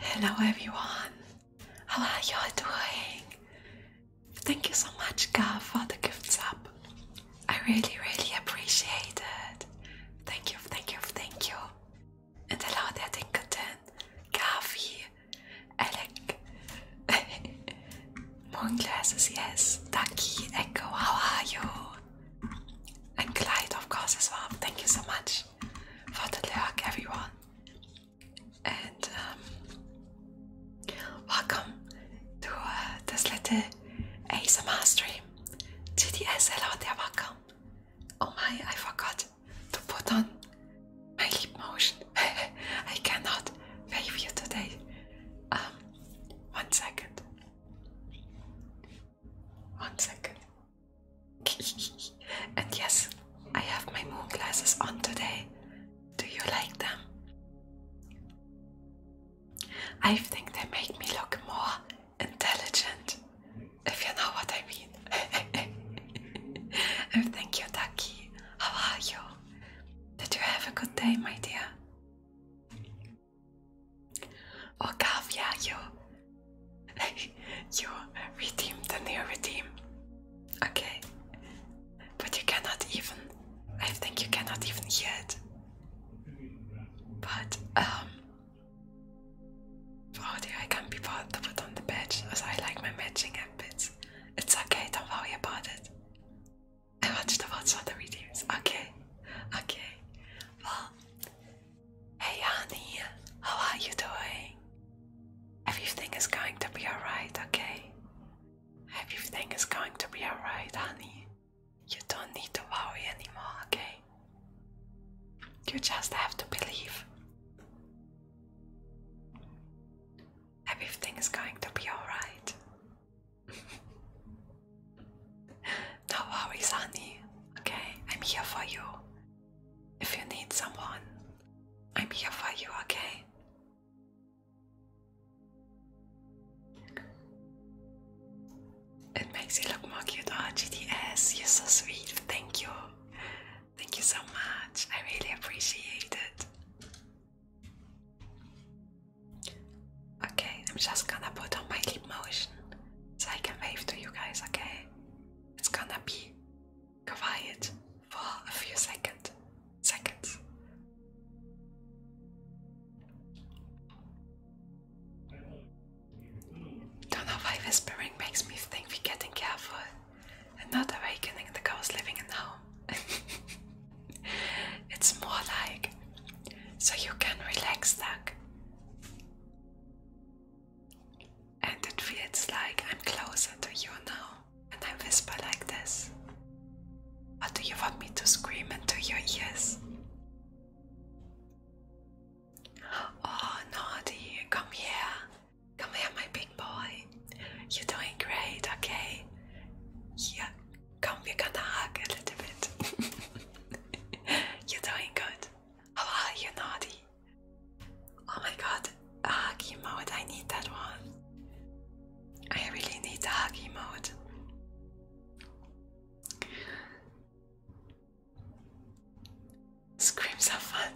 Hello everyone, how are you doing? Thank you so much Gar for the gifts up. I really really appreciate it. Thank you, thank you, thank you. And hello there Dinkerton, Garfi, Alec, Moon Glasses, yes, Thank you, Echo, how are you? And Clyde, of course, as well. Thank you so much for the lurk, everyone. And um, welcome to uh, this little ASMR stream. GDS, hello there, welcome. Oh my, I forgot to put on my lip motion. I cannot wave you today. Um, one second. One second. and yes, I have my moon glasses on today. Do you like them? I think they make me look more intelligent, if you know what I mean. thank you, Ducky. How are you? Did you have a good day, my dear? Oh, you you redeemed the near redeem. Okay. But you cannot even I think you cannot even hear it. But um Oh I can't be bothered to put on the badge as I like my matching app It's okay, don't worry about it. I watched the watch on the redeems. Okay. Okay. Well, Hey honey, how are you doing? Everything is going to be alright, okay? Everything is going to be alright, honey. You don't need to worry anymore, okay? You just have to believe. Everything is going to be alright. No worries, honey. Okay, I'm here for you. If you need someone, I'm here for you, okay? It makes you look more cute. Oh, GDS, you're so sweet. Thank you. Thank you so much. I really appreciate it. Okay, I'm just gonna put on my lip motion so I can wave to you guys, okay? It's gonna be quiet for a few seconds. seconds. Don't know why whispering makes me think we're getting careful and not awakening the ghost living in the home. it's more like so you can relax, Doug. And it feels like I'm closer to you now, and I whisper like this. What do you want me to scream into your ears? Oh, naughty, come here. Come here, my big boy. You're doing great, okay? Yeah, come, we're gonna hug a little bit. You're doing good. Oh, you, Naughty? Oh my god, hugy mode! I need that one. I really need the hugy mode. Screams are fun.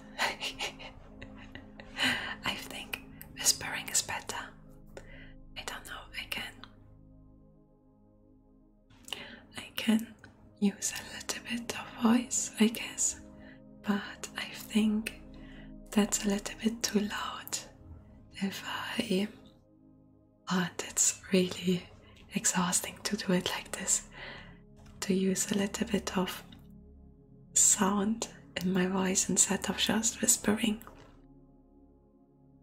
I think whispering is better. I don't know, I can I can use a little bit of voice, I guess, but I think that's a little bit too loud if I but it's really exhausting to do it like this to use a little bit of sound in my voice instead of just whispering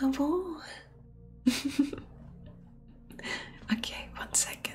Amor. okay, one second.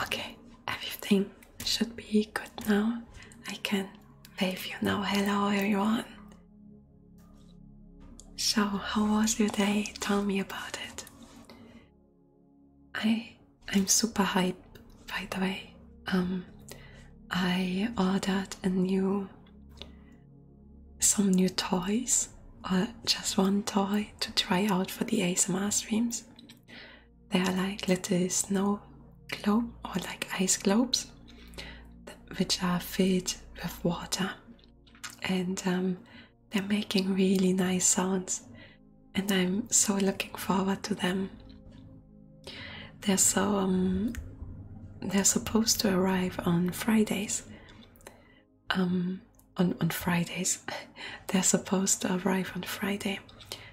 Okay, everything should be good now. I can wave you now. Hello, everyone. So, how was your day? Tell me about it. I I'm super hyped, by the way. Um, I ordered a new some new toys or uh, just one toy to try out for the ASMR streams. They are like little snow globe or like ice globes which are filled with water and um, they're making really nice sounds and I'm so looking forward to them. They're so um, they're supposed to arrive on Fridays um, on, on Fridays. They're supposed to arrive on Friday,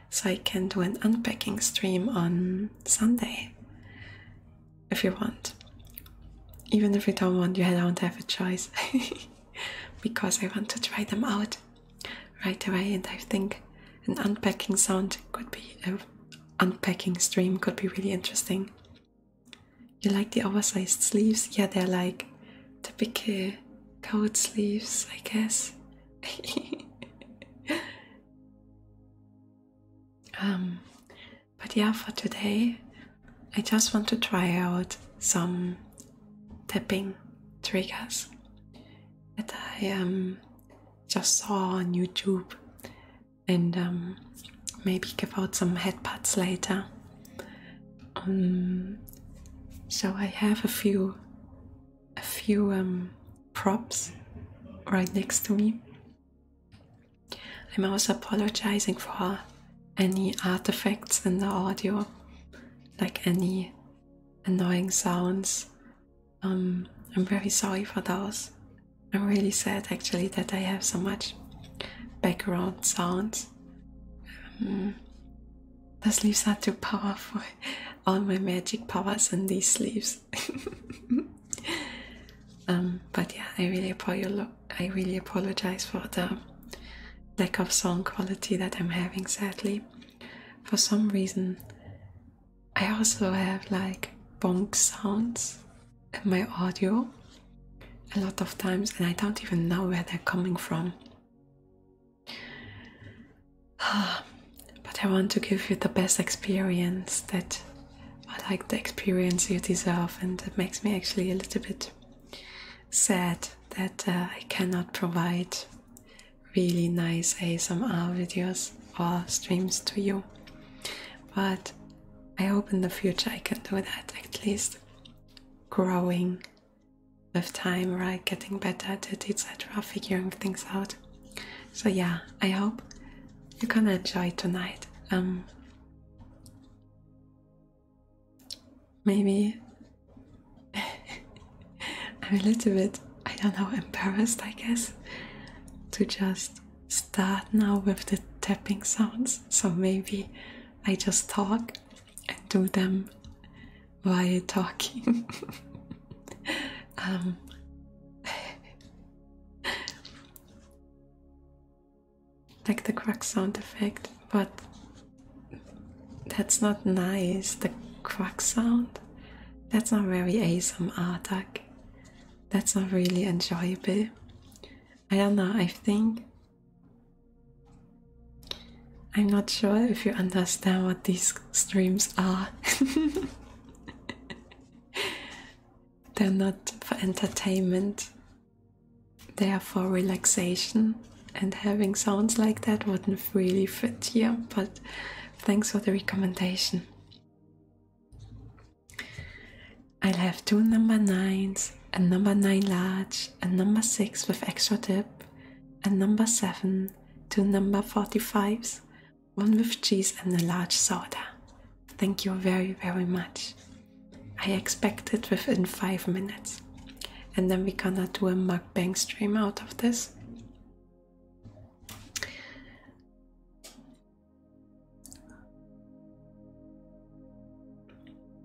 so I can do an unpacking stream on Sunday if you want. Even if you don't want, you don't have a choice because I want to try them out right away, and I think an unpacking sound could be an uh, unpacking stream could be really interesting. You like the oversized sleeves? Yeah, they're like typical coat sleeves, I guess. um, but yeah, for today, I just want to try out some tapping triggers that I um, just saw on YouTube, and um, maybe give out some headpats later. Um, so I have a few, a few um, props right next to me. I'm also apologizing for any artifacts in the audio, like any annoying sounds. Um, I'm very sorry for those. I'm really sad actually that I have so much background sounds it. Hmm. The sleeves are too powerful. All my magic powers in these sleeves. um, but yeah, I really apologize. for the lack of song quality that I'm having. Sadly, for some reason, I also have like bonk sounds my audio a lot of times, and I don't even know where they're coming from. but I want to give you the best experience that I like the experience you deserve, and it makes me actually a little bit sad that uh, I cannot provide really nice ASMR videos or streams to you. But I hope in the future I can do that at least growing with time, right? Getting better at it, etc., figuring things out. So, yeah, I hope you're gonna enjoy tonight. Um, maybe I'm a little bit, I don't know, embarrassed, I guess, to just start now with the tapping sounds. So, maybe I just talk and do them while talking. Um, like the crack sound effect, but that's not nice. The crack sound, that's not very awesome attack. That's not really enjoyable. I don't know, I think I'm not sure if you understand what these streams are. They're not for entertainment, they are for relaxation, and having sounds like that wouldn't really fit here. But thanks for the recommendation. I'll have two number nines, a number nine large, a number six with extra tip, a number seven, two number forty fives, one with cheese and a large soda. Thank you very very much. I expect it within five minutes. And then we're gonna do a mukbang stream out of this.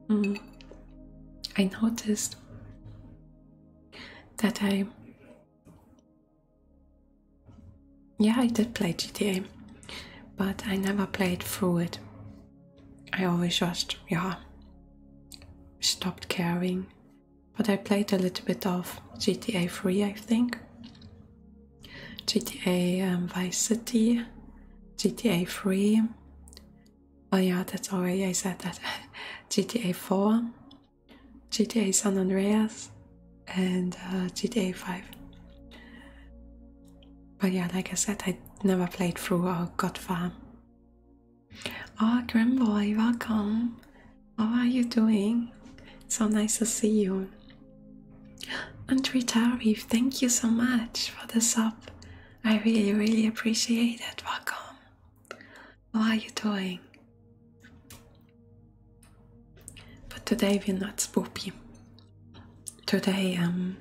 Mm. I noticed that I. Yeah, I did play GTA, but I never played through it. I always just, yeah, stopped caring. But I played a little bit of GTA 3, I think. GTA um, Vice City, GTA 3, Oh yeah, that's already I said that. GTA 4, GTA San Andreas, and uh, GTA 5. But yeah, like I said, I never played through or got far. Oh, Grimboy, welcome. How are you doing? So nice to see you. And Tarif, thank you so much for the sub. I really, really appreciate it. Welcome. How are you doing? But today we're not spoopy. Today, um,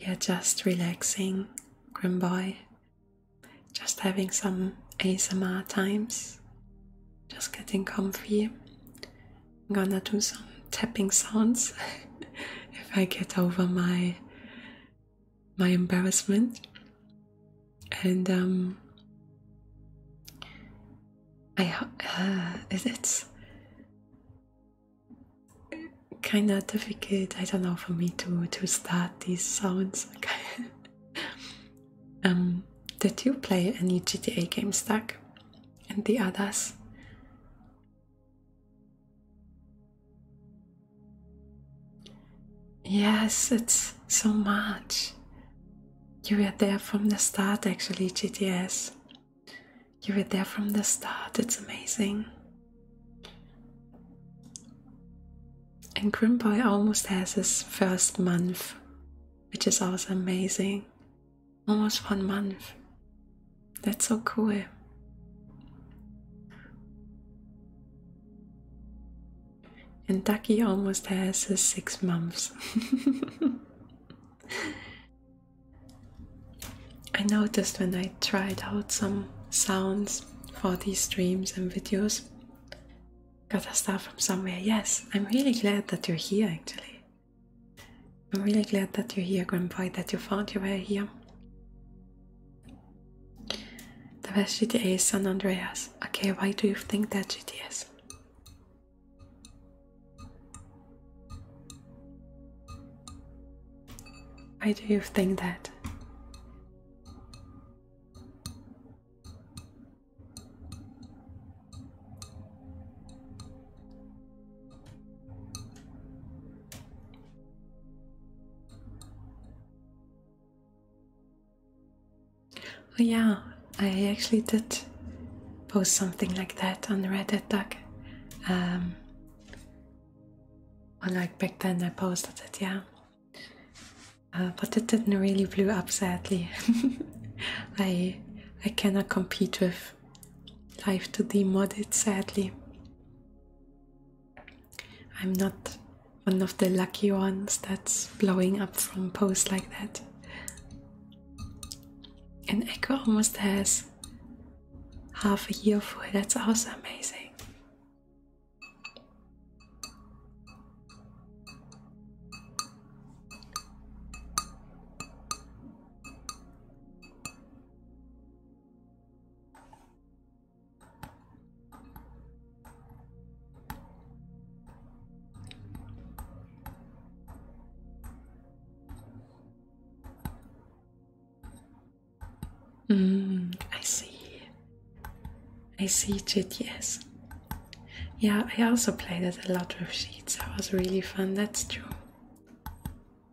we're just relaxing, grim boy. Just having some ASMR times. Just getting comfy. I'm gonna do some tapping sounds. if I get over my my embarrassment and um, I uh, it's kind of difficult I don't know for me to to start these sounds um did you play any GTA game stack and the others Yes, it's so much. You were there from the start, actually, GTS. You were there from the start, it's amazing. And Grimboy almost has his first month, which is also amazing. Almost one month. That's so cool. And Ducky almost has his six months. I noticed when I tried out some sounds for these streams and videos, got a star from somewhere. Yes, I'm really glad that you're here actually. I'm really glad that you're here, Grandpa, that you found your way here. The best GTS is San Andreas. Okay, why do you think that GTS? is? Why do you think that? Oh yeah, I actually did post something like that on Reddit Um, or like back then I posted it, yeah. Uh, but it didn't really blow up sadly. I I cannot compete with life to d modded sadly. I'm not one of the lucky ones that's blowing up from posts like that. And Echo almost has half a year for it. That's also amazing. Mm, I see. I see it, yes. Yeah, I also played it a lot with sheets. That was really fun, that's true.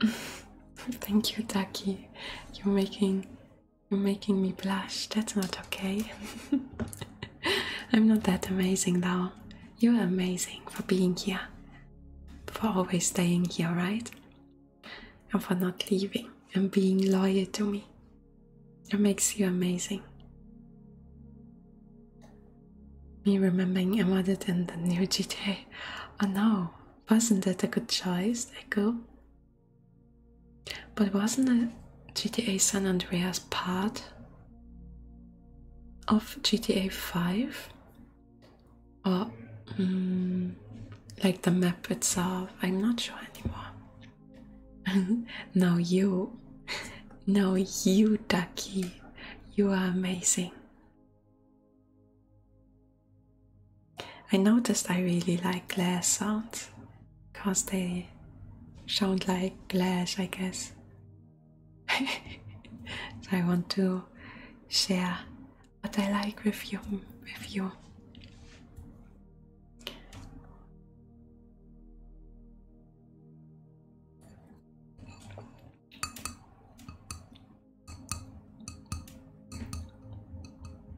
Thank you, Ducky. You're making you're making me blush. That's not okay. I'm not that amazing though. You're amazing for being here. For always staying here, right? And for not leaving and being loyal to me. It makes you amazing. Me remembering I wanted in the new GTA. I oh, know, wasn't that a good choice, Echo? But wasn't it GTA San Andreas part of GTA 5? Or, mm, like the map itself? I'm not sure anymore. no, you. No, you, Ducky. You are amazing. I noticed I really like glass sounds because they sound like glass, I guess. so I want to share what I like with you. With you.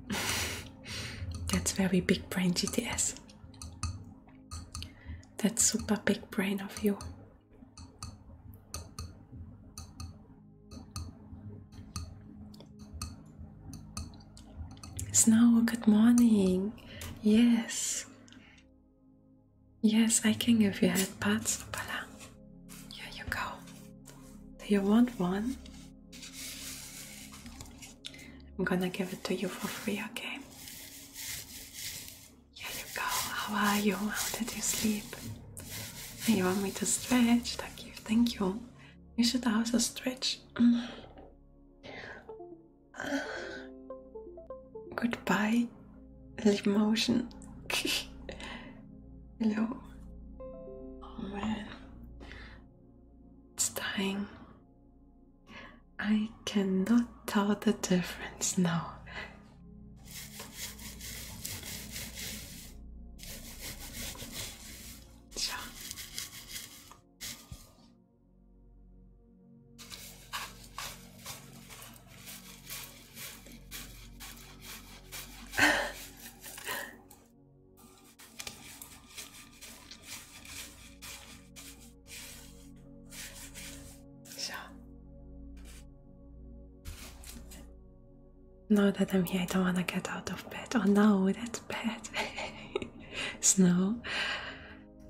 That's very big brain, GTS. That's super big brain of you. It's Snow, good morning. Yes, Yes, I can give you head pads. Voila. Here you go. Do you want one? I'm gonna give it to you for free, okay? Here you go. How are you? How did you sleep? You want me to stretch? Thank you. Thank you. You should also stretch. Mm. Goodbye, Limotion. Hello. Oh man, it's dying. I cannot tell the difference now. So, so, now that I'm here, I don't want to get out of bed. Oh no, that's bad. Snow.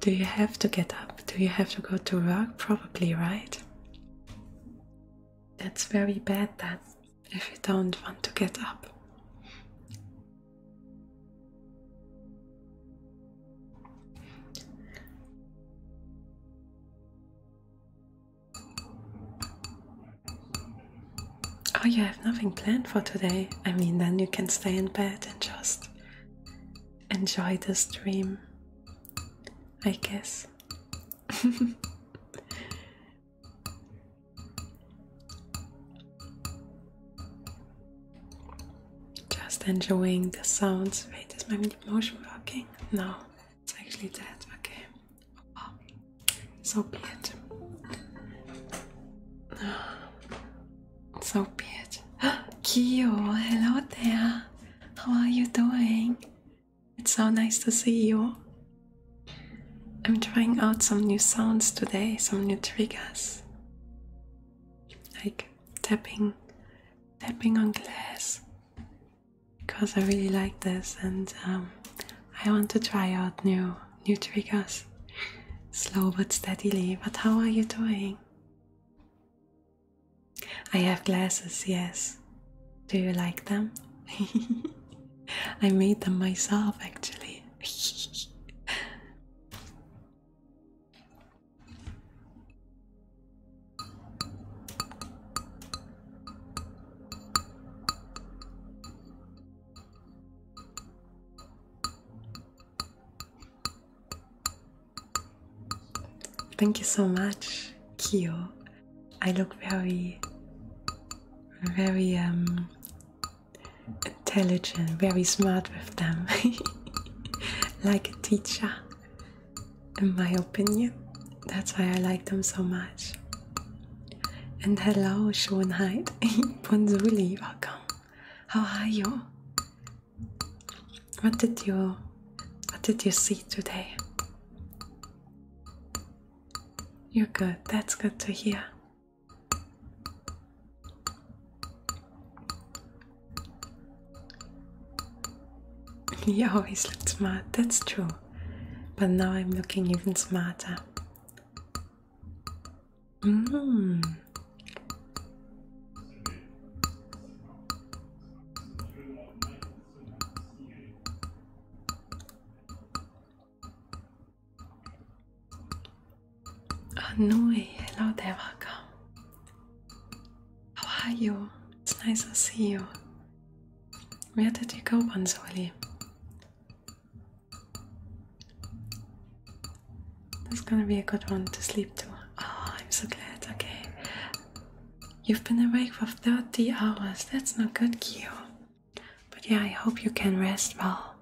Do you have to get up? Do you have to go to work? Probably, right? That's very bad That if you don't want to get up. Oh, you have nothing planned for today. I mean, then you can stay in bed and just enjoy the stream, I guess. Just enjoying the sounds. Wait, is my motion working? No, it's actually dead. Okay. Oh, so be So weird. Kyo, hello there. How are you doing? It's so nice to see you. I'm trying out some new sounds today, some new triggers. Like tapping tapping on glass. Because I really like this and um, I want to try out new new triggers. Slow but steadily. But how are you doing? I have glasses, yes. Do you like them? I made them myself actually. Thank you so much, Kyo. I look very, very um, intelligent, very smart with them, like a teacher, in my opinion. That's why I like them so much. And hello, Schönheit. Bonzuli, welcome. How are you? What did you what did you see today? You're good. That's good to hear. You always looked smart, that's true. But now I'm looking even smarter. Mm. Anui, hello there, How are you? It's nice to see you. Where did you go, Bonzoli? That's gonna be a good one to sleep to. Oh, I'm so glad. Okay. You've been awake for 30 hours. That's not good, Kyo. But yeah, I hope you can rest well.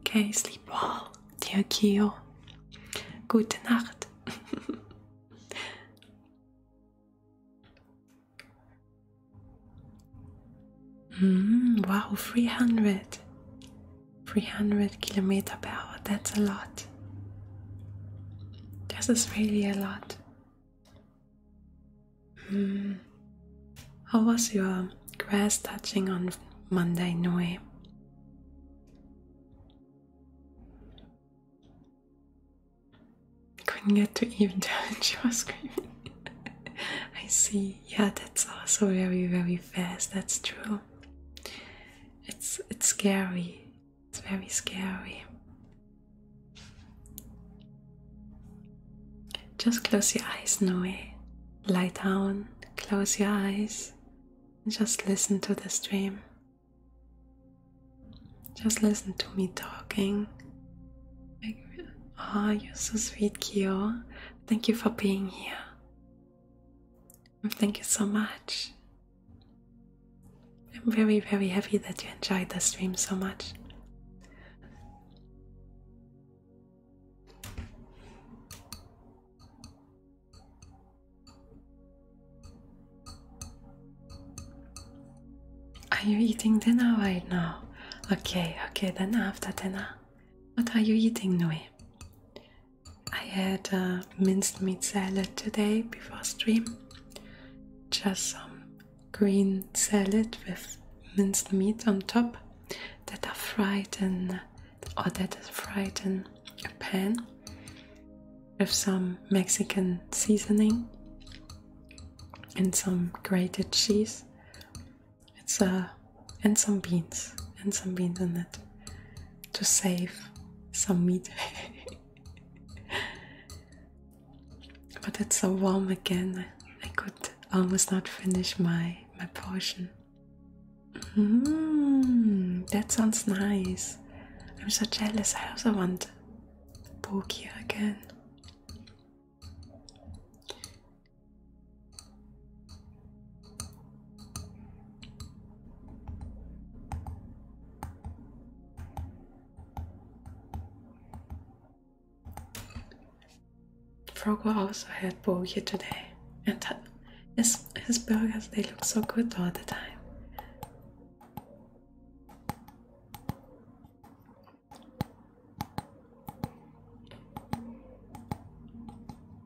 Okay, sleep well, dear Kyo. Gute Nacht. Hmm, wow, 300. 300 kilometer per hour. That's a lot. This is really a lot. Hmm. How was your grass touching on Monday, Noe? Couldn't get to even tell she was screaming. I see. Yeah, that's also very, very fast. That's true it's it's scary. It's very scary. Just close your eyes, Noe. Lie down, close your eyes, and just listen to the stream. Just listen to me talking. Ah, oh, you're so sweet, Kyo. Thank you for being here. Thank you so much. I'm very, very happy that you enjoyed the stream so much. Are you eating dinner right now? Okay, okay, then after dinner. What are you eating, now? I had a minced meat salad today before stream. Just some green salad with minced meat on top that are fried in or that is fried in a pan with some Mexican seasoning and some grated cheese. It's a uh, and some beans and some beans in it to save some meat. but it's so warm again, I could almost not finish my, my portion. Mm-hmm. that sounds nice. I'm so jealous. I also want Bokia again. Frogo also had burger today, and his, his burgers they look so good all the time.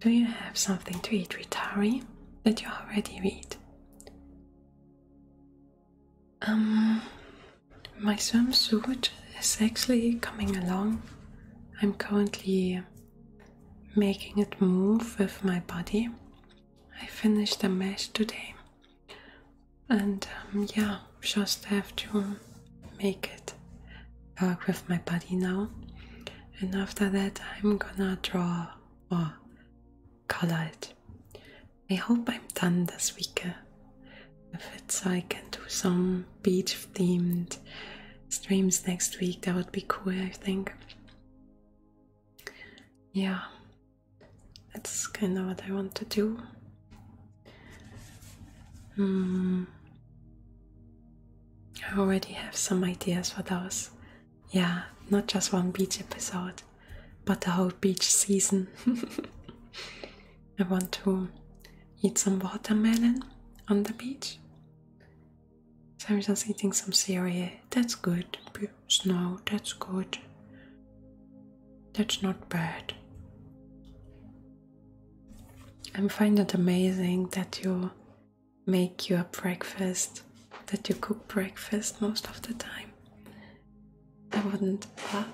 Do you have something to eat, Ritari, that you already eat. Um, my swimsuit is actually coming along. I'm currently making it move with my body. I finished the mesh today, and um, yeah, just have to make it work with my body now. And after that, I'm gonna draw or color it. I hope I'm done this week. Uh, if it's, I can do some beach themed streams next week. That would be cool, I think. Yeah, that's kind of what I want to do. Hmm. I already have some ideas for those. Yeah, not just one beach episode but the whole beach season. I want to eat some watermelon on the beach. So I'm eating some cereal. That's good. Snow, that's good. That's not bad. I find it amazing that you make your breakfast, that you cook breakfast most of the time. I wouldn't. Uh,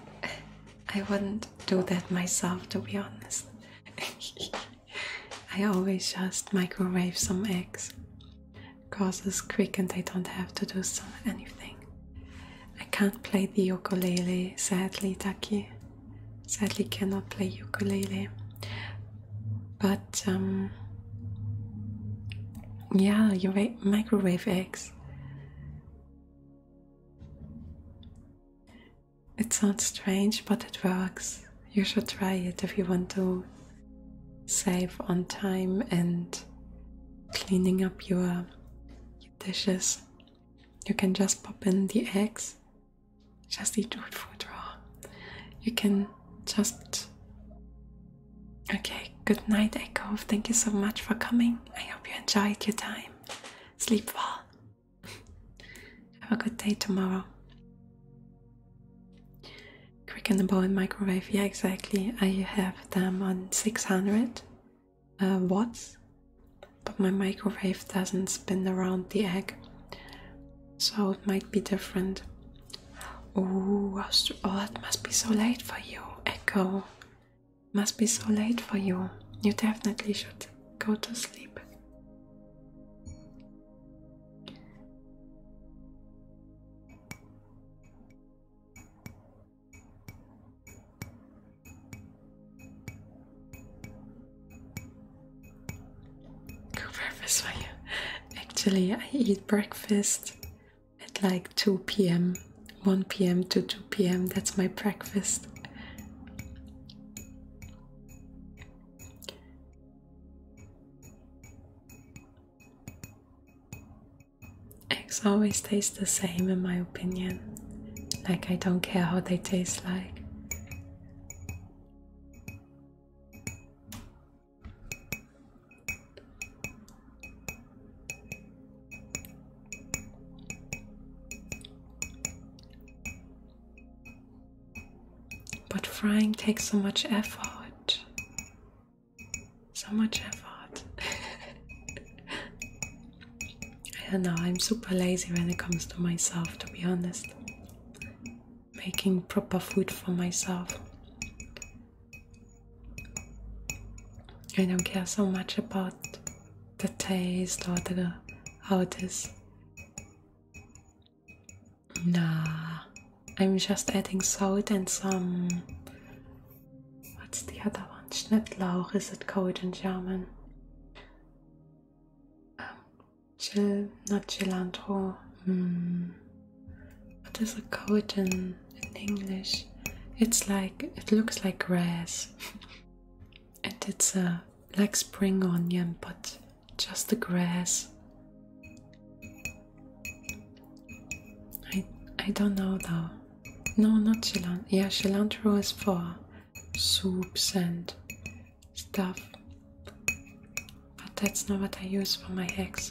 I wouldn't do that myself, to be honest. I always just microwave some eggs. Causes quick, and I don't have to do anything. I can't play the ukulele, sadly, Taki. Sadly, cannot play ukulele. But um, yeah, you microwave eggs. It sounds strange, but it works. You should try it if you want to save on time and cleaning up your, dishes. You can just pop in the eggs, just eat food raw. You can just Okay, good night, Echo. Thank you so much for coming. I hope you enjoyed your time. Sleep well. Have a good day tomorrow. Quickenable and microwave, yeah, exactly. I have them on 600 uh, watts, but my microwave doesn't spin around the egg, so it might be different. Ooh, oh, that must be so late for you, Echo. Must be so late for you. You definitely should go to sleep. Good breakfast for you. Actually, I eat breakfast at like 2 p.m., 1 p.m. to 2 p.m. That's my breakfast. Eggs always taste the same, in my opinion. Like, I don't care how they taste like. But frying takes so much effort. So much effort. I don't know, I'm super lazy when it comes to myself, to be honest. Making proper food for myself. I don't care so much about the taste or the how it is. Nah, I'm just adding salt and some. What's the other one? Schnitzel, is it called in German? Um, gil, not cilantro. Hmm. What is it called in in English. It's like it looks like grass, and it's a uh, like spring onion, but just the grass. I I don't know though. No, not cilantro. Yeah, cilantro is for soups and stuff, but that's not what I use for my eggs.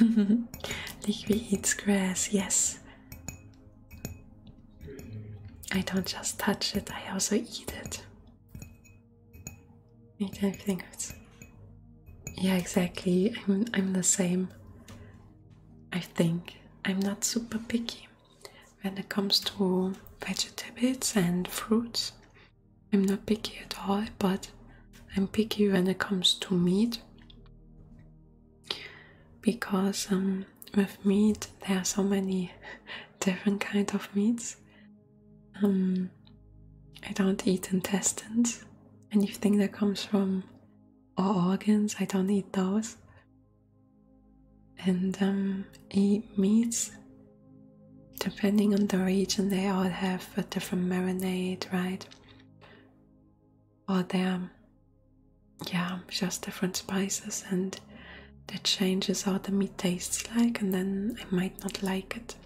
Ligby grass, yes. I don't just touch it, I also eat it. I don't think it's yeah, exactly. I'm I'm the same. I think I'm not super picky when it comes to vegetables and fruits. I'm not picky at all, but I'm picky when it comes to meat because um, with meat there are so many different kind of meats. Um, I don't eat intestines, anything that comes from or organs. I don't eat those and um, eat meats. Depending on the region, they all have a different marinade, right? Or they're, yeah, just different spices, and that changes how the meat tastes like, and then I might not like it.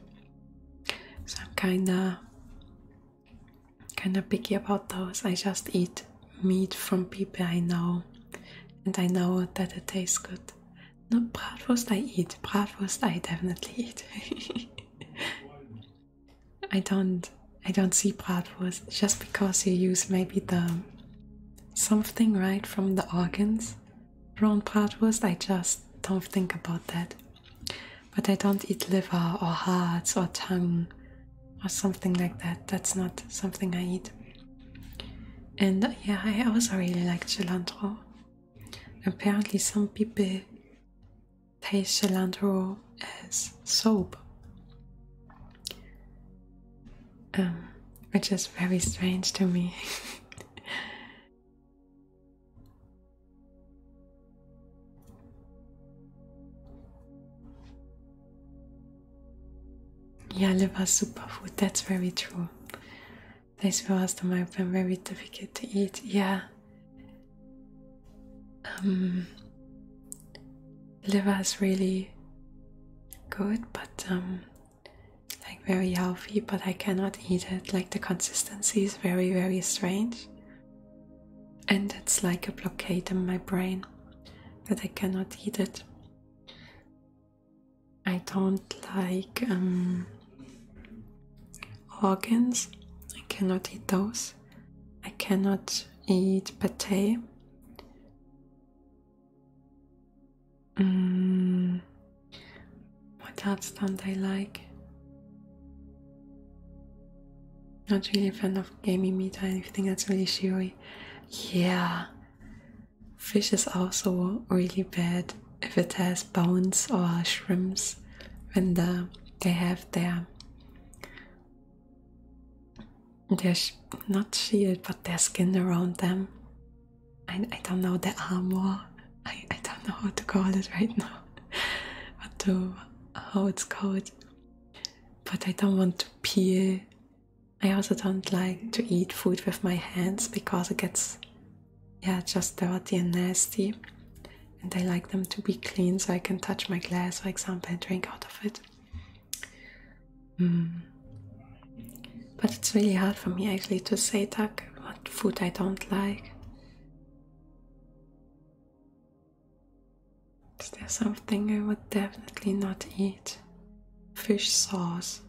So I'm kinda, kinda picky about those. I just eat meat from people I know, and I know that it tastes good. Not bratwurst I eat. Bratwurst I definitely eat. I don't. I don't see bratwurst just because you use maybe the something right from the organs. Wrong bratwurst, I just don't think about that. But I don't eat liver or hearts or tongue or something like that. That's not something I eat. And uh, yeah, I also really like cilantro. Apparently, some people taste cilantro as soap, um, which is very strange to me. Yeah, liver is super food. that's very true. Place for us to have been very difficult to eat. Yeah. Um, liver is really good, but um, like very healthy, but I cannot eat it. Like the consistency is very, very strange. And it's like a blockade in my brain that I cannot eat it. I don't like um, organs. I cannot eat those. I cannot eat pate. Mm. what else don't I like? Not really a fan of gamey meat or think that's really chewy. Yeah, Fish is also really bad if it has bones or shrimps when the, they have their their not shield but their skin around them. I, I don't know the armor. I, I don't know how to call it right now. what to how it's called. But I don't want to peel I also don't like to eat food with my hands because it gets yeah just dirty and nasty and I like them to be clean so I can touch my glass for example and drink out of it. Hmm. But it's really hard for me actually to say Tuck what food I don't like. Is there something I would definitely not eat? fish sauce.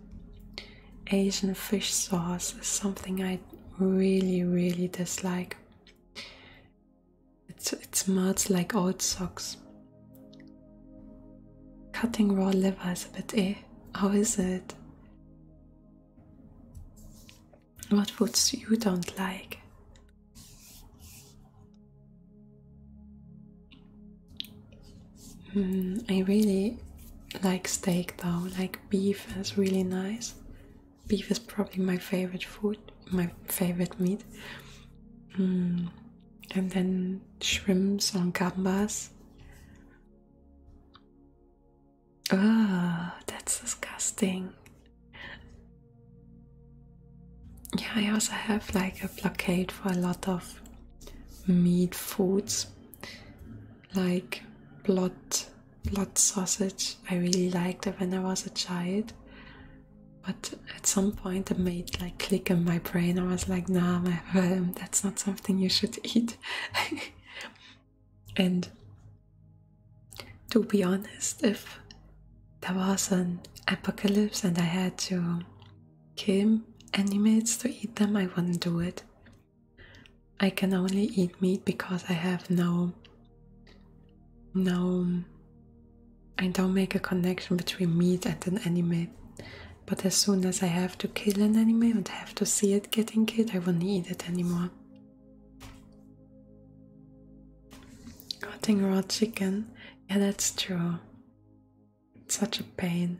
Asian fish sauce is something I really, really dislike. it smells like old socks. Cutting raw liver is a bit eh? How is it? What foods you don't like? Mm, I really like steak though, like beef is really nice. Beef is probably my favorite food, my favorite meat. Mm, and then shrimps on gambas. Oh, that's disgusting. Yeah, I also have like a blockade for a lot of meat foods, like blood, blot sausage. I really liked it when I was a child, but at some point it made like click in my brain. I was like, nah, that's not something you should eat. and to be honest, if there was an apocalypse and I had to Kim animates to eat them, I will not do it. I can only eat meat because I have no. No. I don't make a connection between meat and an anime. But as soon as I have to kill an anime and have to see it getting killed, I won't eat it anymore. Cutting raw chicken? Yeah, that's true. It's such a pain.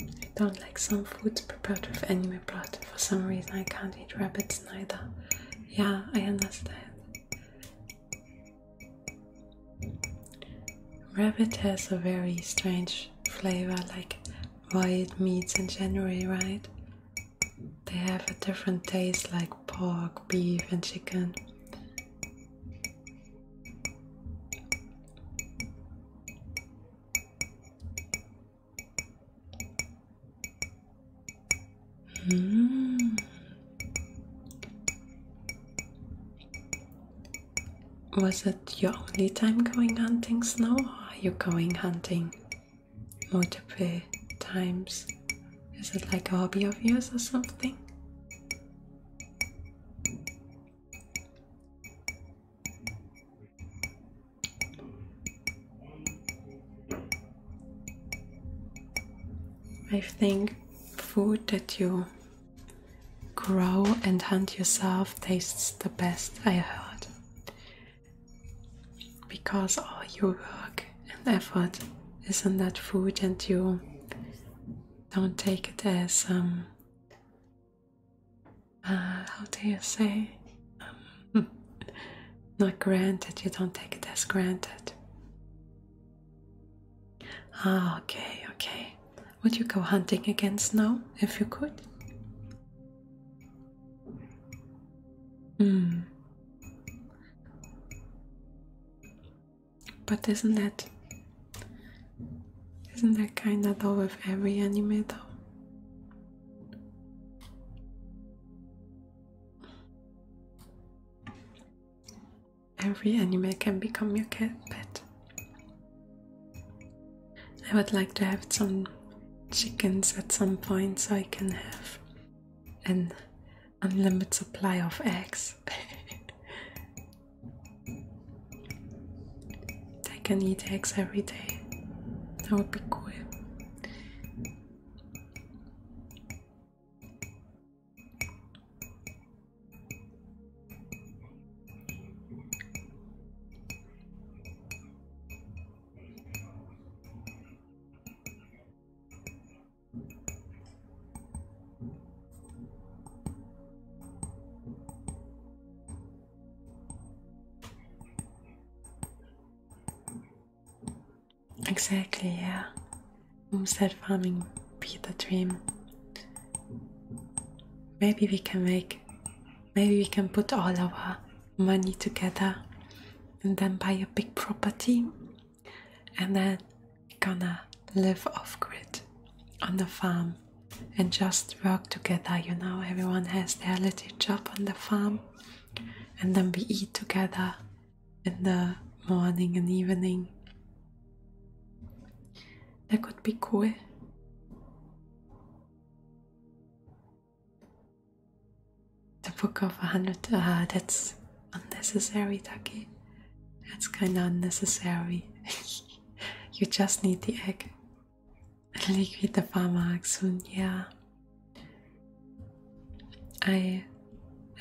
I don't like some foods prepared with animal blood. For some reason, I can't eat rabbits neither. Yeah, I understand. Rabbit has a very strange flavor, like wild meats in general, right? They have a different taste, like pork, beef, and chicken. Hmm. Was it your only time going hunting snow, or are you going hunting multiple times? Is it like a hobby of yours or something? I think food that you grow and hunt yourself tastes the best I heard because all your work and effort is in that food and you don't take it as um, uh, how do you say? Um, not granted, you don't take it as granted. Ah, okay, okay. Would you go hunting against snow if you could? Hmm. But isn't that isn't that kinda though with every anime though? Every anime can become your cat pet. I would like to have some chickens at some point so I can have an unlimited supply of eggs. They can eat eggs every day. That would be cool. Exactly, yeah. Homestead farming be the dream. Maybe we can make, maybe we can put all our money together and then buy a big property and then gonna live off grid on the farm and just work together. You know, everyone has their little job on the farm, and then we eat together in the morning and evening. That could be cool. The book of a hundred. Ah, that's unnecessary, Ducky. That's kind of unnecessary. you just need the egg. It'll liquid the farmer soon, yeah. I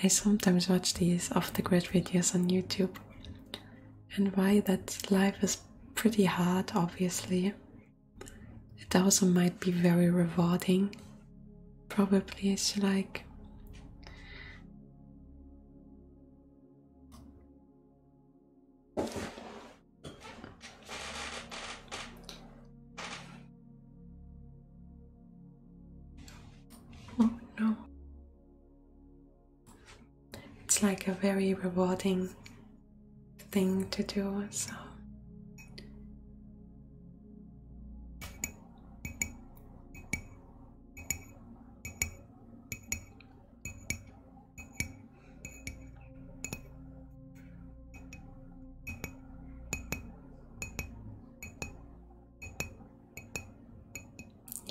I sometimes watch these off the grid videos on YouTube and why that life is pretty hard obviously. It also might be very rewarding. Probably it's like Oh no. It's like a very rewarding thing to do, so.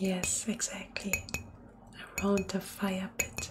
Yes, exactly. Around the fire pit.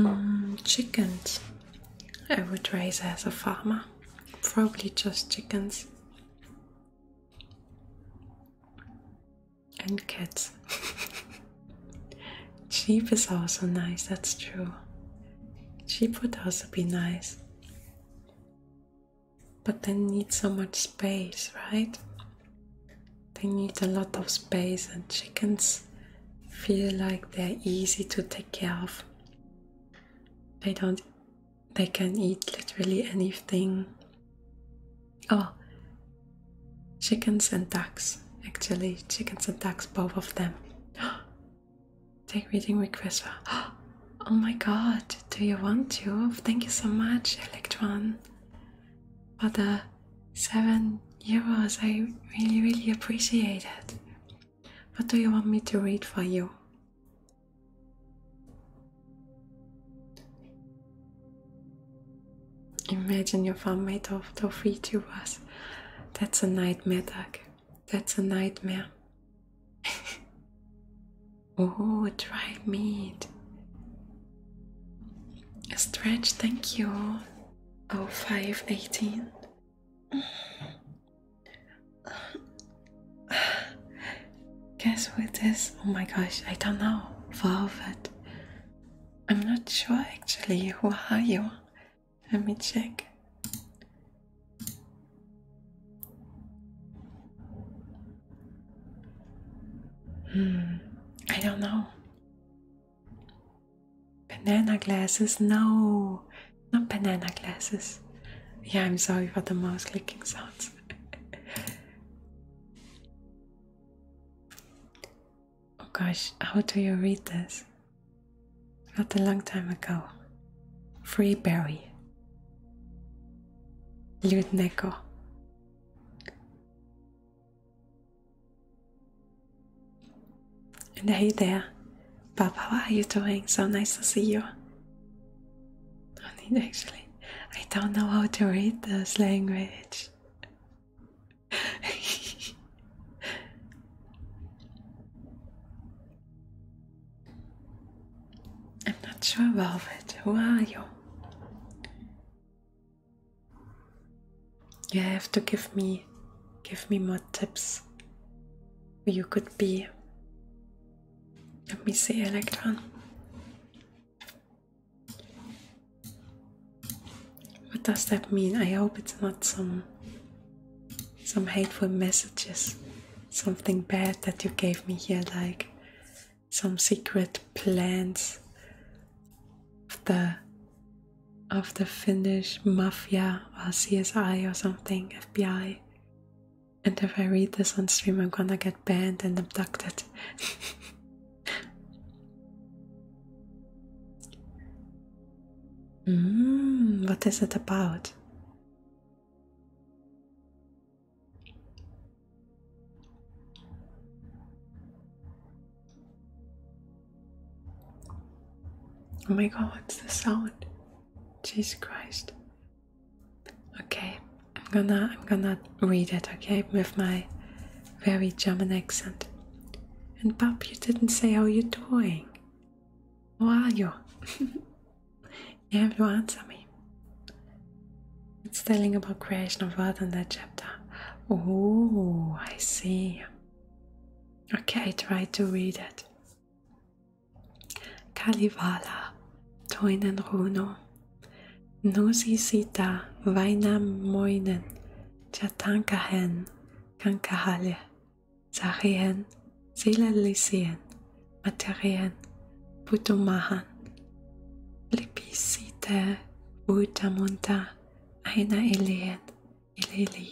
Mm, chickens. I would raise as a farmer. Probably just chickens. And cats. Cheap is also nice, that's true. Cheap would also be nice. But they need so much space, right? They need a lot of space, and chickens feel like they're easy to take care of. They don't, they can eat literally anything. Oh, chickens and ducks, actually, chickens and ducks, both of them. Take reading request. Oh my god, do you want to? Thank you so much, Electron, for the 7 euros. I really, really appreciate it. What do you want me to read for you? Imagine your fan made of tofu tubers that's a nightmare, dog. That's a nightmare. oh, dry meat. stretch, thank you. Oh, 518. Guess who it is? Oh my gosh, I don't know. Velvet. I'm not sure actually. Who are you? Let me check. Hmm, I don't know. Banana glasses? No, not banana glasses. Yeah, I'm sorry for the mouse clicking sounds. Oh gosh, how do you read this? Not a long time ago. Free berry. And hey there, Bob, how are you doing? So nice to see you. I need actually. I don't know how to read this language. I'm not sure, Velvet. Who are you? You have to give me give me more tips who you could be. Let me see Electron. What does that mean? I hope it's not some some hateful messages. Something bad that you gave me here, like some secret plans of the of the Finnish mafia or CSI or something, FBI. And if I read this on stream, I'm gonna get banned and abducted. Mm, what is it about? Oh my god, what's the sound? Jesus Christ. Okay, I'm gonna I'm gonna read it, okay, with my very German accent. And Bob, you didn't say how you're doing. Who are you? you have to answer me. It's telling about creation of earth in that chapter. Oh, I see. Okay, try to read it. Kalivala, tuinen runo, nosi sita, vainam moinen, chatankahen, kankahale, Sarien, Silalysien, Materien, Putumahan, Lipisite, Utamunta, Aina Elien, Ilili,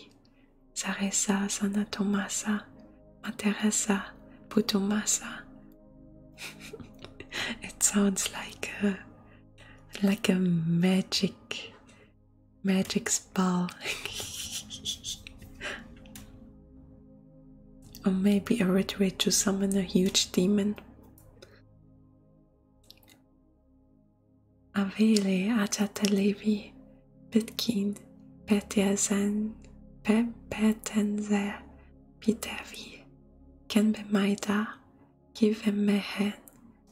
Saresa Sanatomasa, Materesa, Putumasa. it sounds like a like a magic Magic spell. or maybe a ritual to summon a huge demon. Avele Achatalevi Pitkin Petiazan Petenzer Pitavi Kenbemaida Kivemehen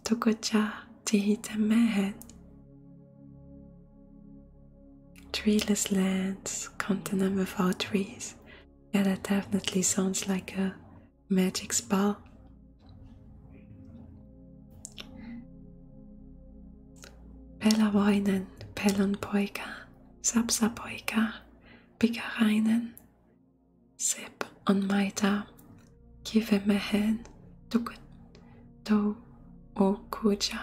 Tokocha Tihitamahan. Treeless lands, continent without trees. Yeah, that definitely sounds like a magic spell. Pelavoinen, Pelonpoika, Sapsapoika, Pikarainen, Sip on Maita, give him a hand, tukun, to okuja,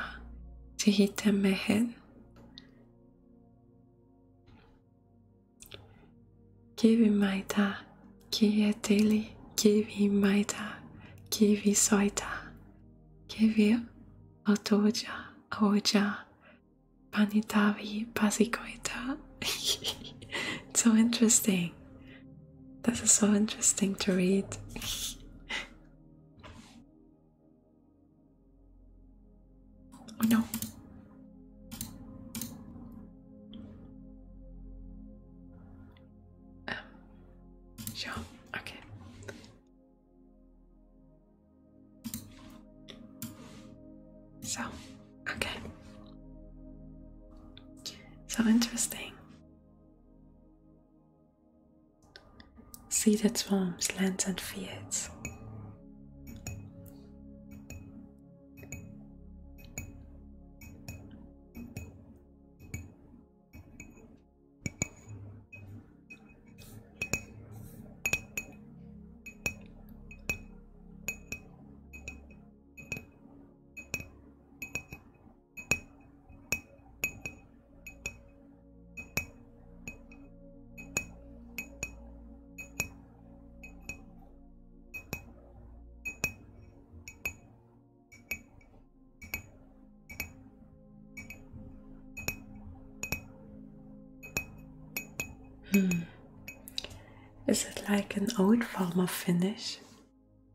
to hit him a hand. Kivi maita, kieteli, kivi maita, kivi soita, kivi otoja, oja, panitavi, pasikoita. so interesting. That's so interesting to read. oh no. Um, sure, okay. So, okay. So interesting. Seeded swamps, lands, and fields. Hmm. Is it like an old form of Finnish?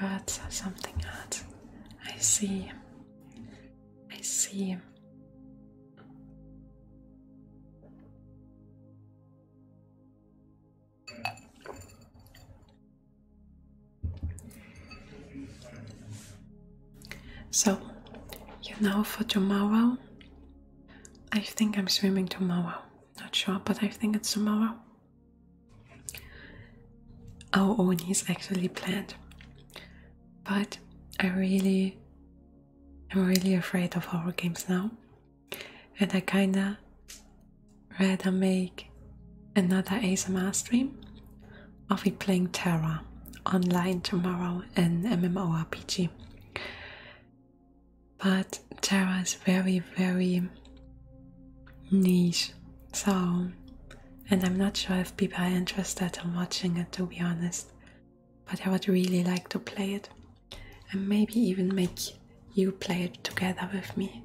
That's something else. I see. I see. So, you know, for tomorrow, I think I'm swimming tomorrow. Not sure, but I think it's tomorrow. Our own is actually planned, but I really, I'm really afraid of our games now, and I kinda rather make another ASMR stream I'll be playing Terra online tomorrow in MMORPG. But Terra is very, very niche, so and I'm not sure if people are interested in watching it to be honest. But I would really like to play it and maybe even make you play it together with me.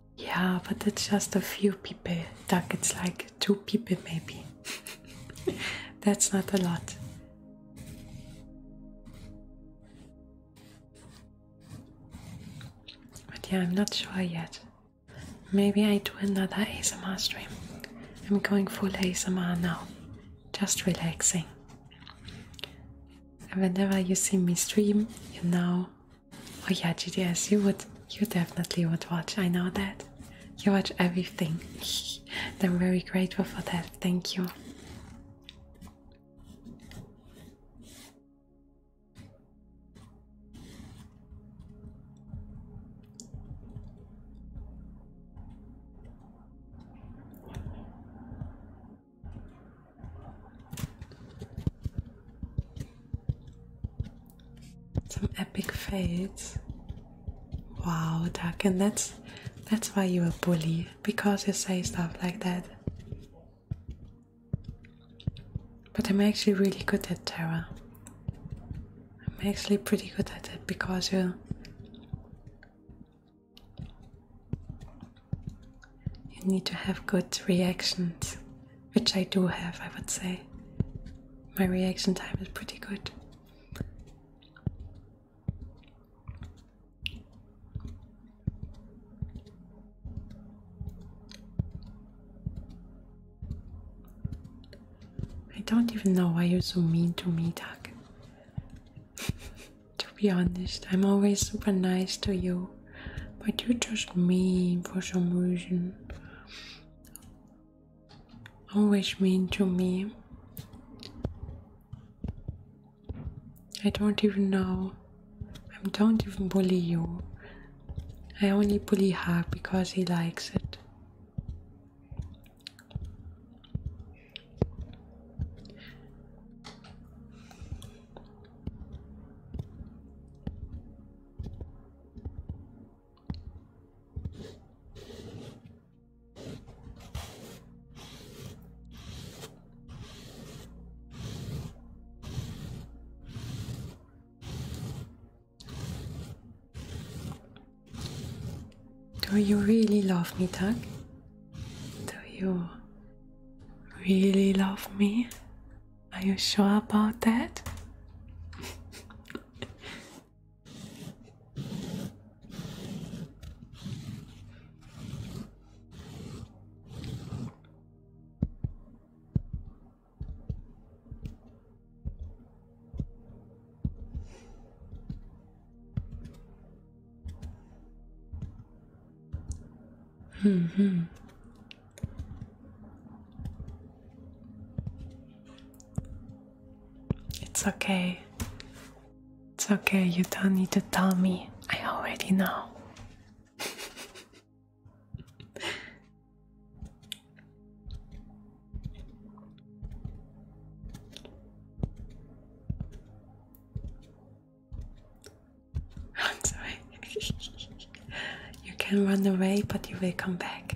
Yeah, but it's just a few people. Duck, it's like two people maybe. That's not a lot. But yeah, I'm not sure yet. Maybe I do another ASMR stream. I'm going full ASMR now. Just relaxing. And whenever you see me stream, you know Oh yeah, GDS, you would you definitely would watch. I know that. You watch everything. I'm very grateful for that. Thank you. Some epic fades. Wow, Duck, and that's that's why you're a bully because you say stuff like that. But I'm actually really good at Terra. I'm actually pretty good at it because you you need to have good reactions, which I do have, I would say. My reaction time is pretty good. I don't even know why you're so mean to me, Doug. to be honest, I'm always super nice to you. But you just mean for some reason. Always mean to me. I don't even know. I don't even bully you. I only bully her because he likes it. Do you really love me, Doug? Do you really love me? Are you sure about that? Mm-hmm. It's okay. It's okay, you don't need to tell me. I already know. I'm sorry. you can run away, but you will come back.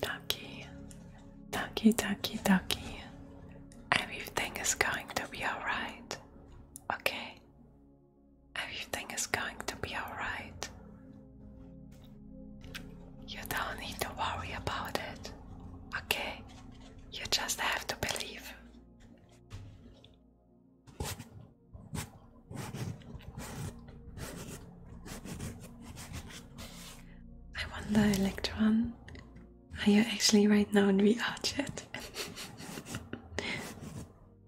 Ducky, ducky, ducky, ducky. Everything is going to be alright. Okay? Everything is going to be alright. You don't need to worry about it. Okay? You just have to believe. I wonder, Electron, are you actually right now in VR chat?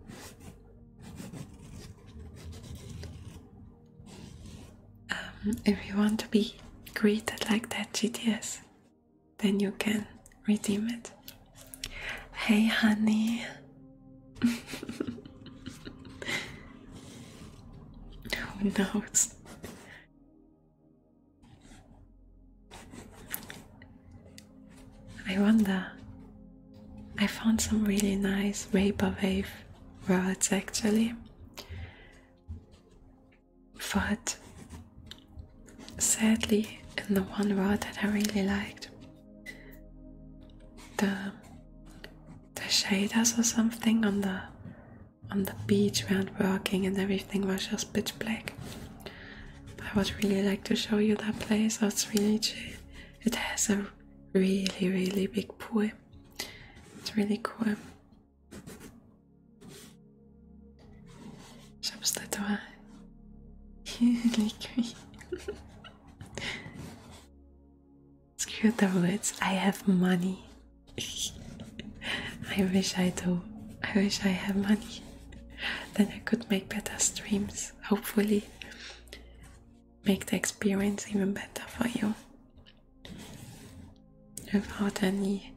um, if you want to be greeted like that, GTS, then you can redeem it. Hey, honey. Who knows? I wonder. I found some really nice vaporwave rods actually. But sadly in the one road that I really liked. The the shaders or something on the on the beach weren't working and everything was just pitch black. I would really like to show you that place. It's really chill. It has a really really big pool. It's really cool. J'aime ce tatouage. L'écueil. Screw the words. I have money. I wish I do. I wish I had money. Then I could make better streams. Hopefully, make the experience even better for you. Without any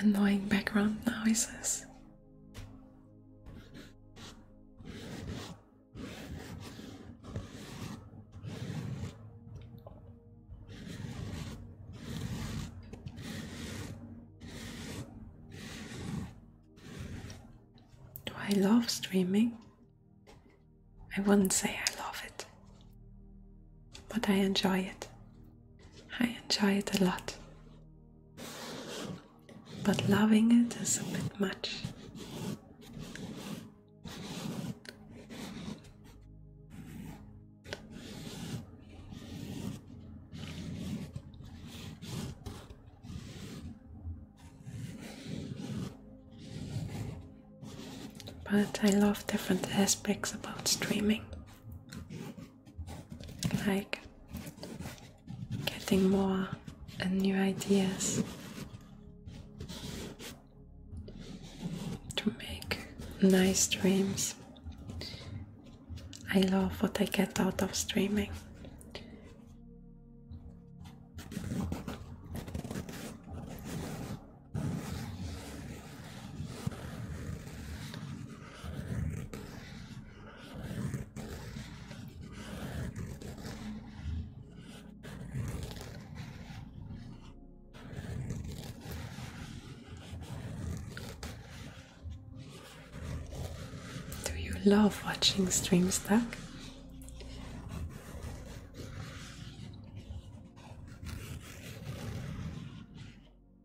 annoying background noises. Do I love streaming? I wouldn't say I love it, but I enjoy it. I enjoy it a lot but loving it is a bit much. But I love different aspects about streaming like getting more and new ideas to make nice dreams. I love what I get out of streaming. Do you love watching stream stack?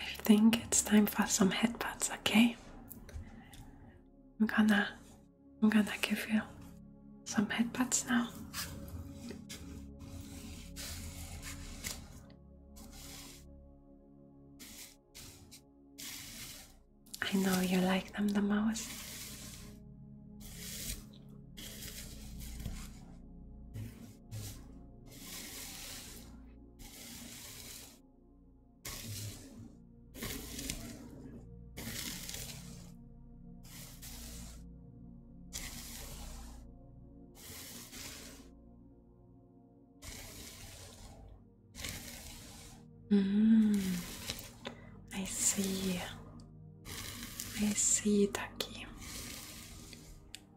I think it's time for some headbutts, okay? I'm gonna I'm gonna give you some headbutts now. I know you like them the most. Mm, hum, I see. I see, tá aqui.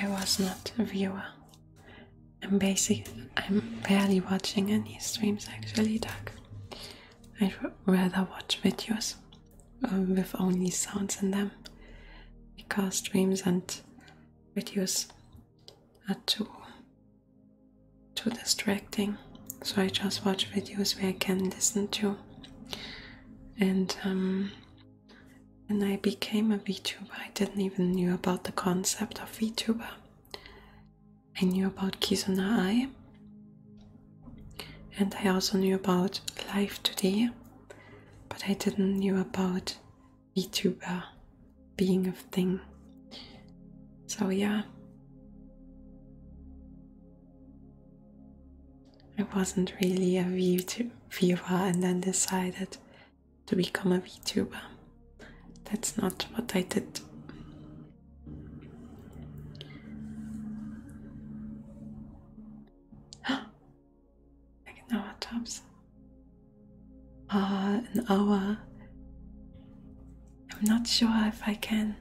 I was not a viewer. I'm basic. I'm barely watching any streams actually, Doug. I'd rather watch videos um, with only sounds in them because dreams and videos are too too distracting so I just watch videos where I can listen to and um, when I became a VTuber I didn't even knew about the concept of VTuber I knew about Kizuna Ai and I also knew about life Today, but I didn't knew about VTuber being a thing. So yeah, I wasn't really a VTuber and then decided to become a VTuber. That's not what I did like an hour tops. Ah, an hour. I'm not sure if I can.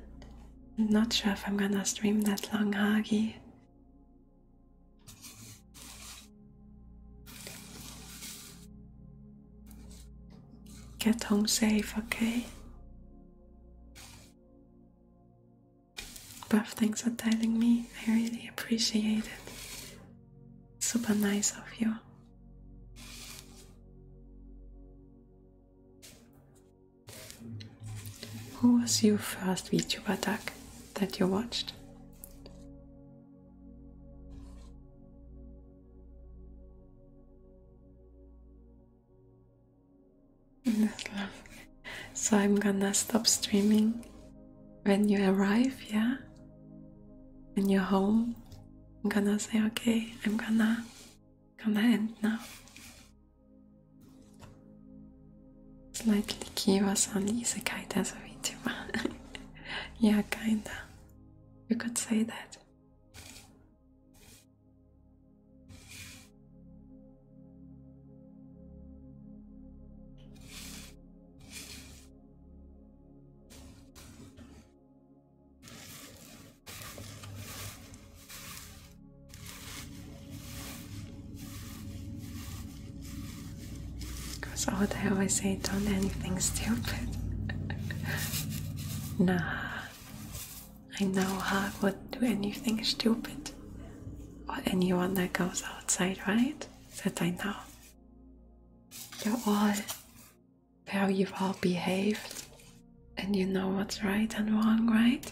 I'm not sure if I'm gonna stream that long, Hagi. Get home safe, okay? Buff, thanks for telling me. I really appreciate it. Super nice of you. Who was your first VTuber doc that you watched? So I'm gonna stop streaming when you arrive, yeah? When you're home, I'm gonna say okay, I'm gonna gonna end now. Slightly Kiwa-san isekai as a video. yeah, kinda. You could say that. Because all day I always say, don't anything stupid. nah, I know how to do anything stupid or anyone that goes outside, right? That I know. You're all very all behaved and you know what's right and wrong, right?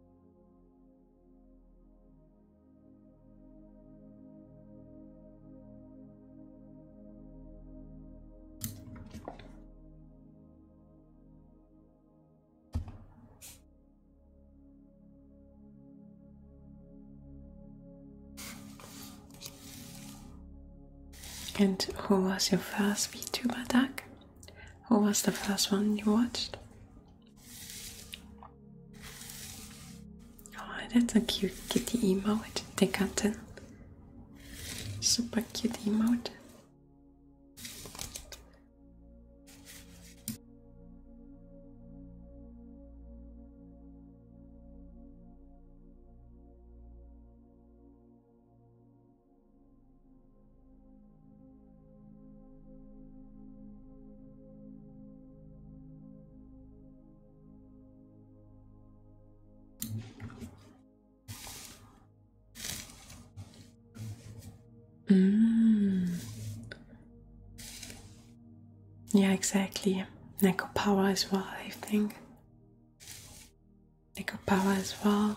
And who was your first VTuber tag? Who was the first one you watched? Oh, that's a cute kitty emote, the Super cute emote. Mm. Yeah, exactly. Neco power as well, I think. Nickel power as well.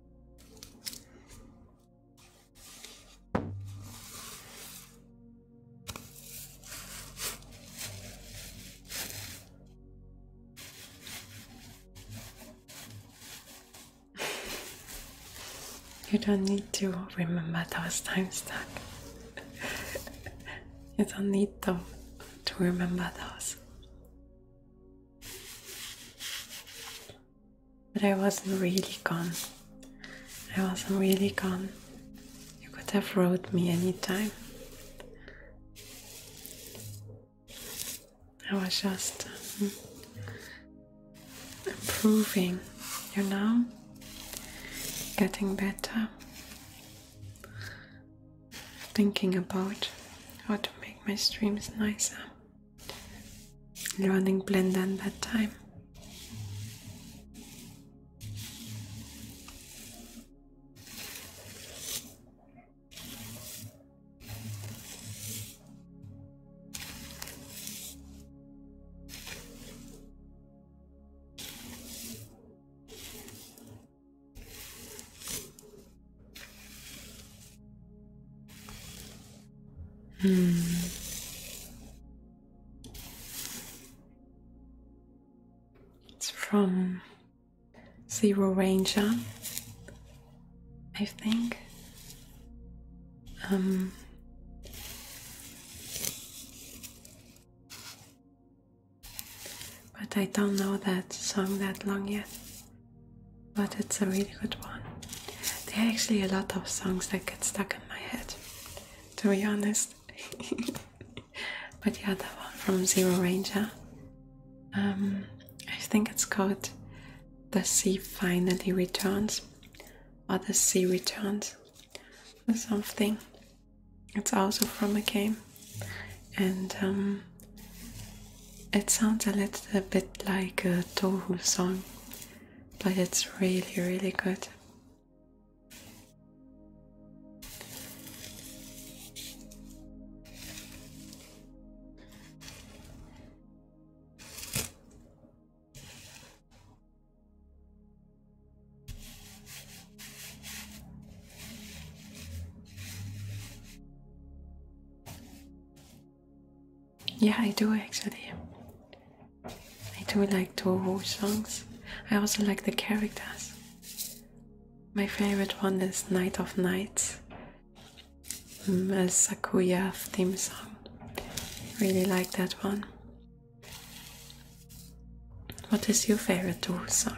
You don't need to remember those times, Doug. you don't need to, to remember those. But I wasn't really gone. I wasn't really gone. You could have wrote me anytime. I was just hmm, improving, you know, getting better, thinking about how to make my streams nicer running blend and bedtime. Hmm. It's from Zero Ranger, I think. Um, but I don't know that song that long yet but it's a really good one. There are actually a lot of songs that get stuck in my head, to be honest. but yeah, that one from Zero Ranger. Um, I think it's called The Sea Finally Returns or The Sea Returns or something. It's also from a game, and um, it sounds a little bit like a Tohu song, but it's really, really good. Yeah, I do actually. I do like Toho songs. I also like the characters. My favorite one is Night of Nights, mm, a Sakuya theme song. Really like that one. What is your favorite Toho song?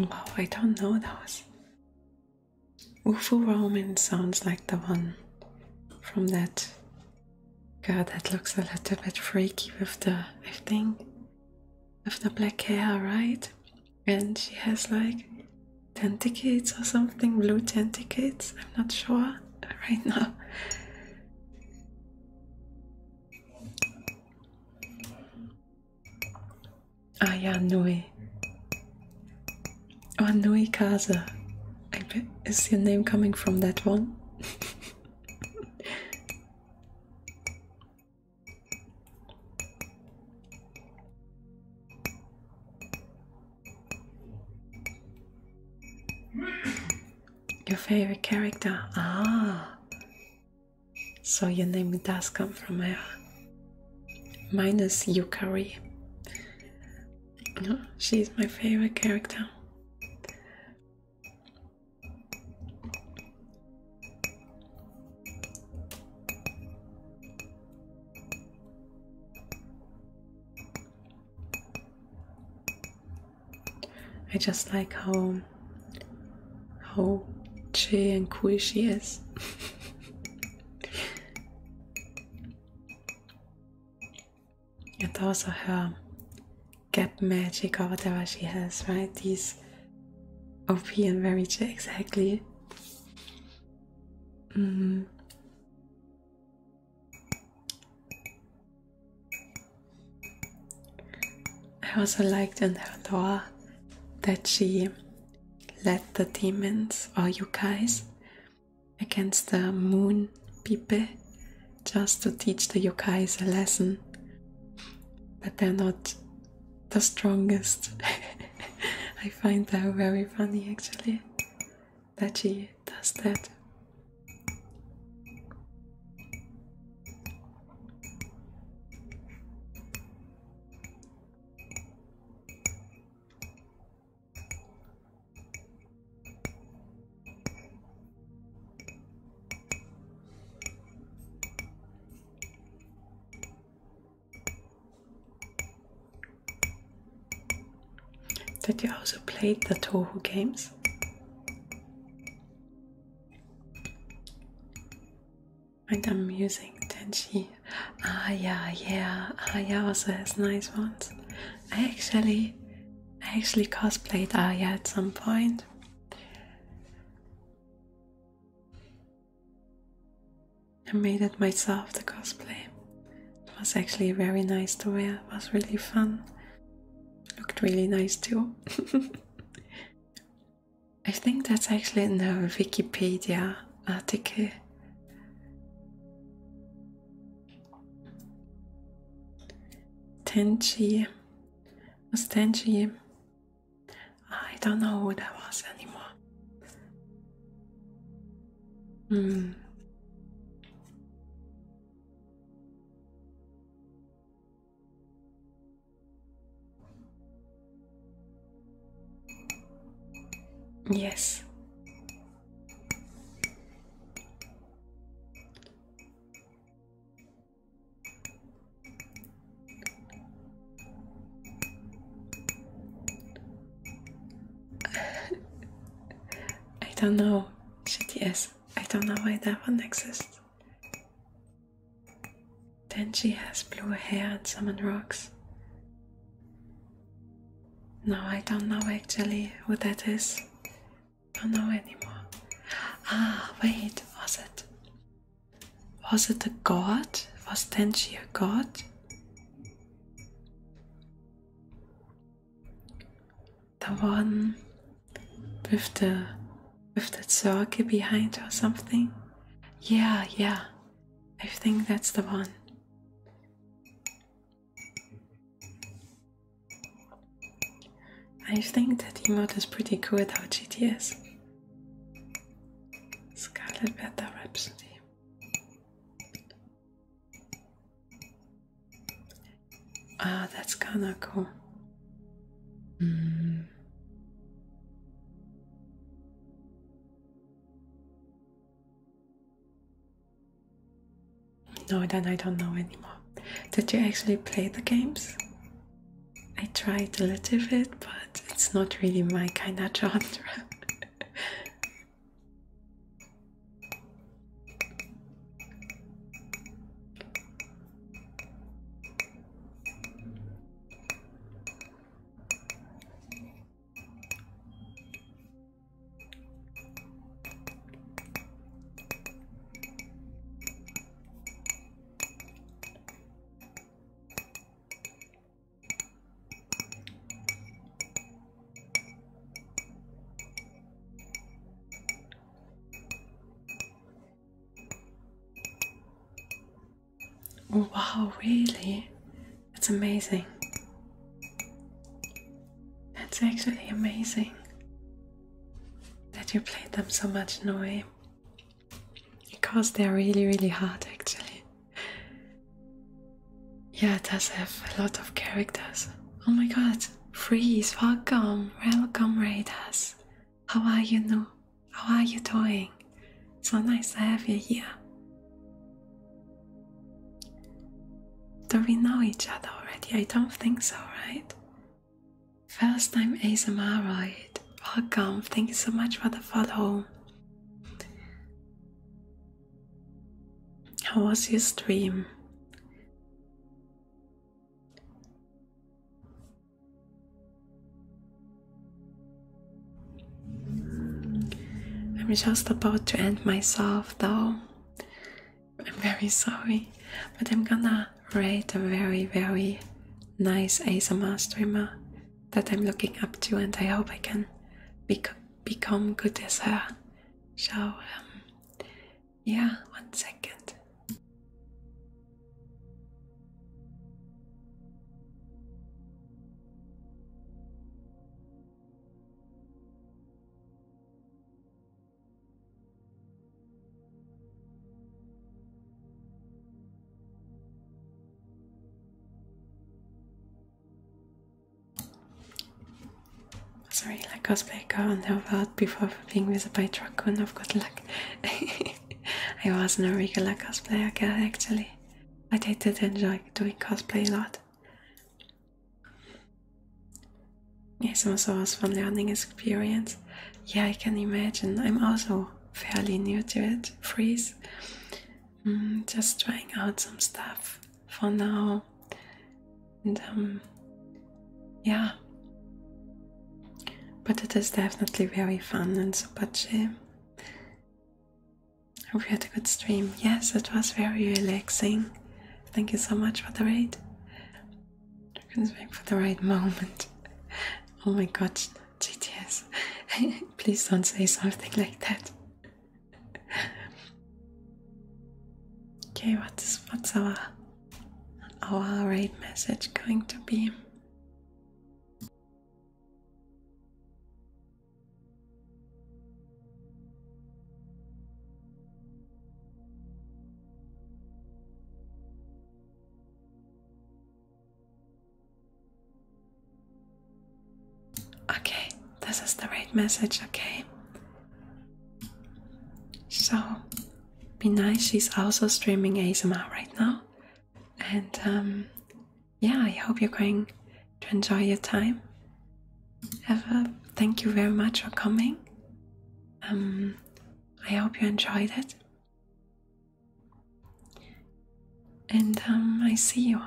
Oh, I don't know those. Ufu Roman sounds like the one from that God, that looks a little bit freaky with the, I think, with the black hair, right? And she has like tentacles or something, blue tentacles, I'm not sure right now. I Ah, yeah, Nui. Oh, Nui Casa. I bet is your name coming from that one? Your favorite character? Ah, so your name does come from her. Uh, minus Yukari. No, she's my favorite character. I just like how how chill and cool she is. and also her gap magic or whatever she has, right? These OP and very exactly. Mm-hmm. I also liked in her door that she let the demons or you guys against the moon people, just to teach the yokais a lesson. But they're not the strongest. I find that very funny actually that she does that. Did you also play the Toho games? And I'm using Tenchi. Ah yeah, yeah, ah yeah also has nice ones. I actually I actually cosplayed Arya at some point. I made it myself the cosplay. It was actually very nice to wear, it was really fun. looked really nice too. I think that's actually in the Wikipedia article. Tenchi was Tenchi. I don't know who that was anymore. Hmm. Yes, I don't know. GTS. I don't know why that one exists. Then she has blue hair and summon rocks. No, I don't know actually who that is. Don't know anymore. Ah, wait, was it? Was it a god? Was then she a god? The one with the with the circle behind or something? Yeah, yeah. I think that's the one. I think that emote is pretty cool without GTS. Scarlet Beta Rhapsody. Ah, that's kinda cool. Hmm. No, then I don't know anymore. Did you actually play the games? I tried a little bit, but it's not really my kind of genre. Oh, wow, really? That's amazing. That's actually amazing that you played them so much, Noe. Because they're really, really hard actually. Yeah, it does have a lot of characters. Oh my god, Freeze, welcome, welcome Raiders. How are you, No? How are you doing? So nice to have you here. Do we know each other already? I don't think so, right? First time ASMR, right? Welcome. Thank you so much for the follow. How was your stream? I'm just about to end myself though. I'm very sorry, but I'm gonna rate a very, very nice ASMR streamer that I'm looking up to, and I hope I can become good as her. So, um, yeah, one second. Sorry, like cosplay car on the world before being visited by I've got luck. I wasn't a regular cosplayer girl actually, I did enjoy doing cosplay a lot. Yes, also was from learning experience. Yeah, I can imagine. I'm also fairly new to it. Freeze. Mm, just trying out some stuff for now. And um, yeah. But it is definitely very fun and super chill. Hope had a good stream. Yes, it was very relaxing. Thank you so much for the raid. Dragon's back for the right moment. Oh my god, GTS. Please don't say something like that. Okay, what is what's our our raid message going to be? Okay, this is the right message, okay? So, be nice. She's also streaming ASMR right now. And um, yeah, I hope you're going to enjoy your time Ever, thank you very much for coming. Um, I hope you enjoyed it. And um, I see you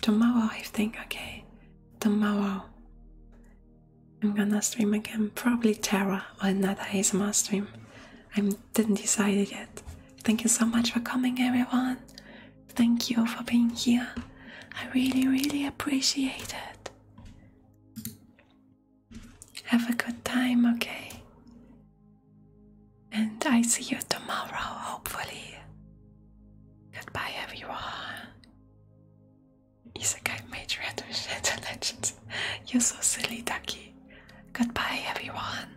tomorrow, I think. Okay, tomorrow I'm gonna stream again, probably Terra or another ASMR stream. I didn't decide yet. Thank you so much for coming, everyone. Thank you for being here. I really, really appreciate it. Have a good time, okay? And I see you tomorrow, hopefully. Goodbye, everyone. Isekai Major Adventure Legends. You're so silly, Ducky. Goodbye, everyone.